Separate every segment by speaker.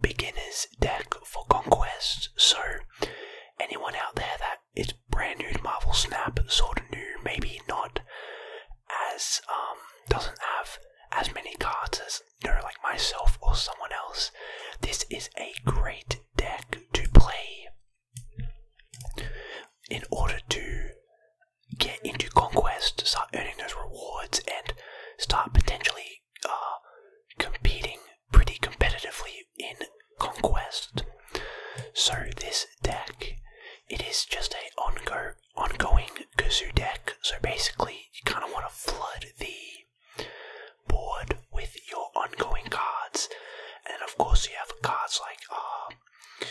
Speaker 1: beginner's deck for Conquest. So, anyone out there that is brand new to Marvel Snap, sort of new, maybe not as, um, doesn't have as many cards as, you know, like myself or someone else, this is a great deck to play in order to get into conquest, start earning those rewards, and start potentially uh, competing pretty competitively in conquest. So this deck, it is just a ongo ongoing kazoo deck. So basically, you kind of want to flood the board with your ongoing cards, and of course you have cards like uh,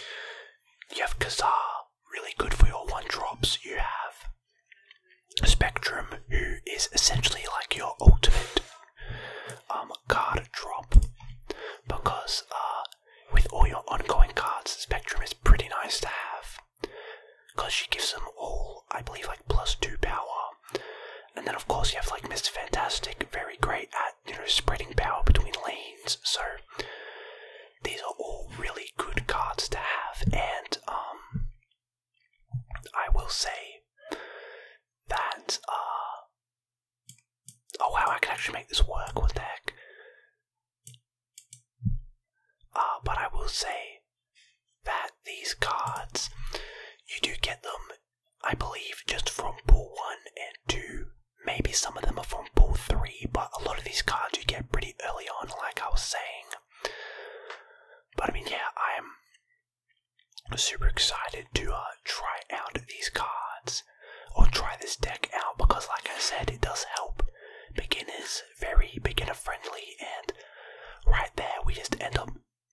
Speaker 1: you have Kazaa, really good for your one drops. You have Spectrum, who is essentially like your ultimate um, card drop, because uh, with all your ongoing cards, Spectrum is pretty nice to have, because she gives them all, I believe, like plus two power. And then, of course, you have like Mr. Fantastic, very great at you know spreading power between lanes. So these are all really good cards to have, and um, I will say that. Uh, oh wow, I can actually make this work. What the heck? Uh, but I will say that these cards, you do get them, I believe, just from pool one and two. Maybe some of them are from pool three, but a lot of these cards you get pretty early on, like I was saying. But I mean, yeah, I'm super excited to uh, try out these cards or try this deck out because, like I said, it does help beginners, very beginner friendly, and right there we just end up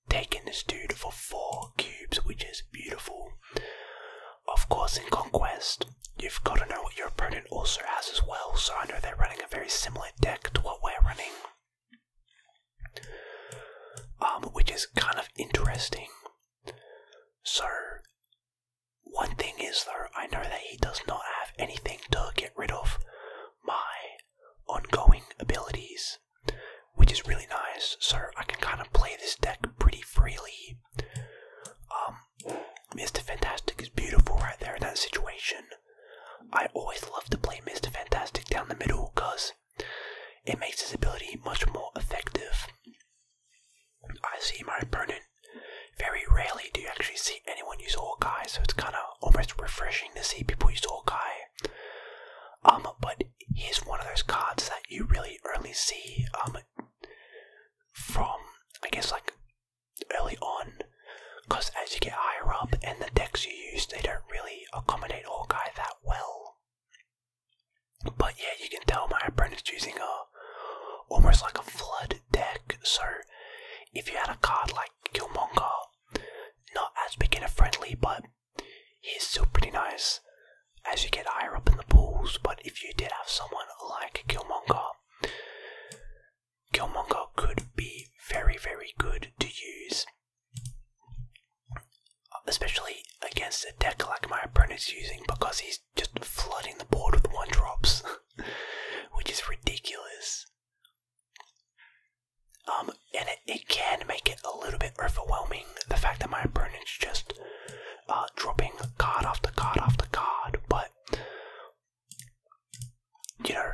Speaker 1: taking this dude for four cubes, which is beautiful. Of course, in Conquest, You've got to know what your opponent also has as well, so I know they're running a very similar deck to what we're running. Um, which is kind of interesting. So, one thing is though, I know that he does not have anything to get rid of my ongoing abilities, which is really nice, so I can kind of play this deck pretty freely. Um, Mr. Fantastic is beautiful right there in that situation. I always love to play Mr. Fantastic down the middle because it makes his ability much more effective. I see my opponent. Very rarely do you actually see anyone use All Kai, so it's kind of almost refreshing to see people use Hawkeye. Um, but he's one of those cards that you really only see um, from, I guess, like early on, because as you get higher up and the decks you use, they don't really accommodate Orkai that well. But yeah, you can tell my apprentice using a almost like a flood deck, so if you had a card like Killmonger, not as beginner friendly, but he's still pretty nice as you get higher up in the pools. But if you did have someone like Killmonger, Killmonger could be very, very good to use, especially against a deck like my opponent's using because he's just flooding the board with one drops, which is ridiculous. Um, and it, can make it a little bit overwhelming the fact that my opponent's just uh, dropping card after card after card, but you know,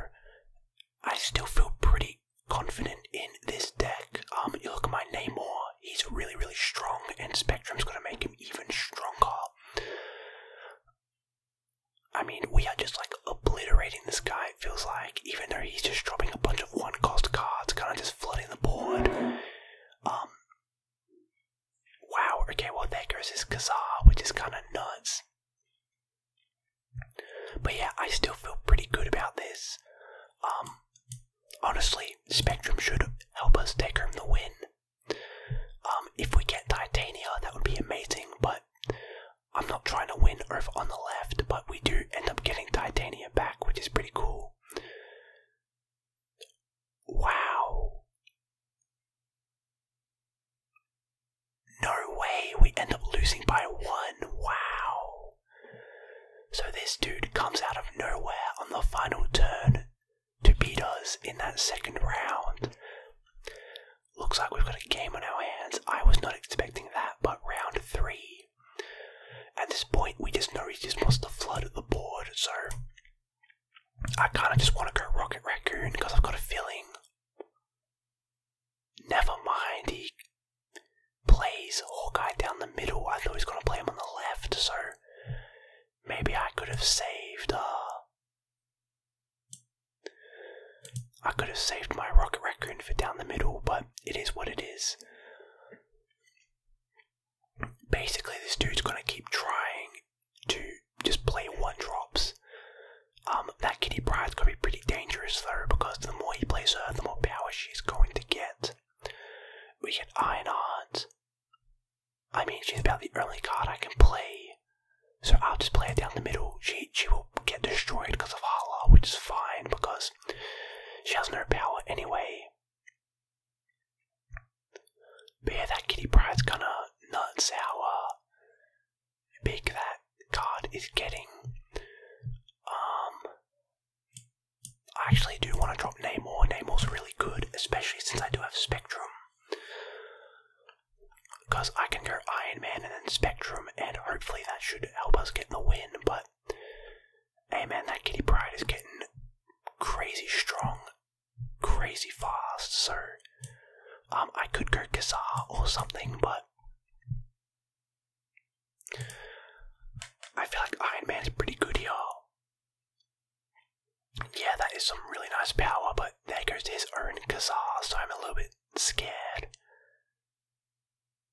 Speaker 1: I still feel pretty confident in this deck. Um, you look at my Namor, he's really, really strong, and Spectrum's gonna make him even stronger. I mean, we are just like obliterating this guy, it feels like, even though he's just dropping a bunch of one cost cards, kind of just flooding the board. Um, Wow, okay, well there goes his Khazar, which is kinda nuts. But yeah, I still feel pretty good about this. Um honestly, Spectrum should help us take home the win. Um, if we get Titania, that would be amazing, but I'm not trying to win Earth on the left, but we do end up getting Titania back, which is pretty cool. Wow. No way, we end up losing by one. Wow. So this dude comes out of nowhere on the final turn to beat us in that second round. Looks like we've got a game on our hands. I was not expecting that, but round three. At this point, we just know he just wants to flood the board, so I kind of just want to go Rocket Raccoon because I've got a feeling. Never mind, he plays Hawkeye down the middle. I thought he was going to play him on the left, so maybe I could have saved. Uh, I could have saved my Rocket Raccoon for down the middle, but it is what it is. Basically, this dude's going to keep trying to just play one drops. Um, that Kitty Pride's gonna be pretty dangerous though, because the more he plays her, the more power she's going to get. We get Iron Heart. I mean, she's about the only card I can play, so I'll just play it down the middle. She she will get destroyed because of Hala, which is fine because she has no power anyway. But yeah, that Kitty Pride's gonna nut sour big that card is getting. Um, I actually do want to drop Namor. Namor's really good, especially since I do have Spectrum. Because I can go Iron Man and then Spectrum, and hopefully that should help us get the win. But hey, man, that Kitty Pride is getting crazy strong crazy fast, so um, I could go Kazaa or something, but I feel like Iron Man is pretty good here. Yeah, that is some really nice power, but there goes his own Kazaa, so I'm a little bit scared.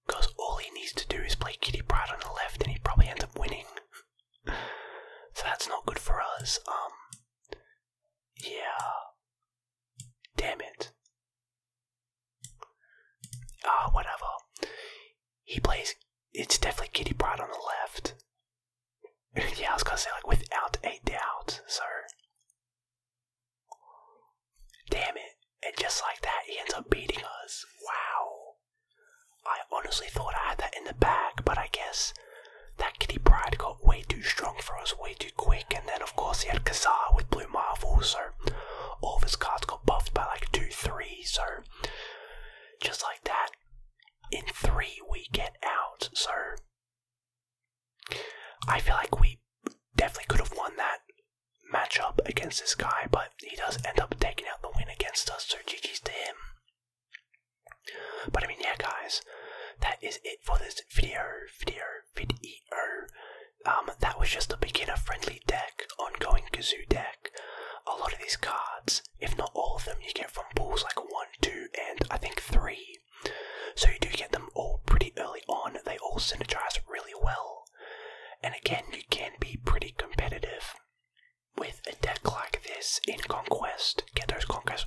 Speaker 1: Because all he needs to do is play Kitty Pride on the left, and he probably ends up winning. so that's not good for us. Um, yeah. Damn it. Ah, whatever. He plays. It's definitely Kitty Pride on the left. yeah, I was gonna say, like, without a doubt, sir. Damn it. And just like that, he ends up beating us. Wow. I honestly thought I had that in the bag, but I guess that Kitty Pride got way too strong for us, way too quick, and then of course he had Kazar with Blue Marvel, so all of his cards got buffed by like 2 3, so just like that, in 3 we get out, so I feel like we definitely could have won that matchup against this guy, but he does end up taking out the win against us, so GG's to him. But I mean, yeah, guys, that is it for this video, video, video. Um, that was just a beginner-friendly deck, ongoing Kazoo deck. A lot of these cards, if not all of them, you get from pools like one, two, and I think three. So you do get them all pretty early on. They all synergize really well, and again, you can be pretty competitive with a deck like this in Conquest. Get those Conquest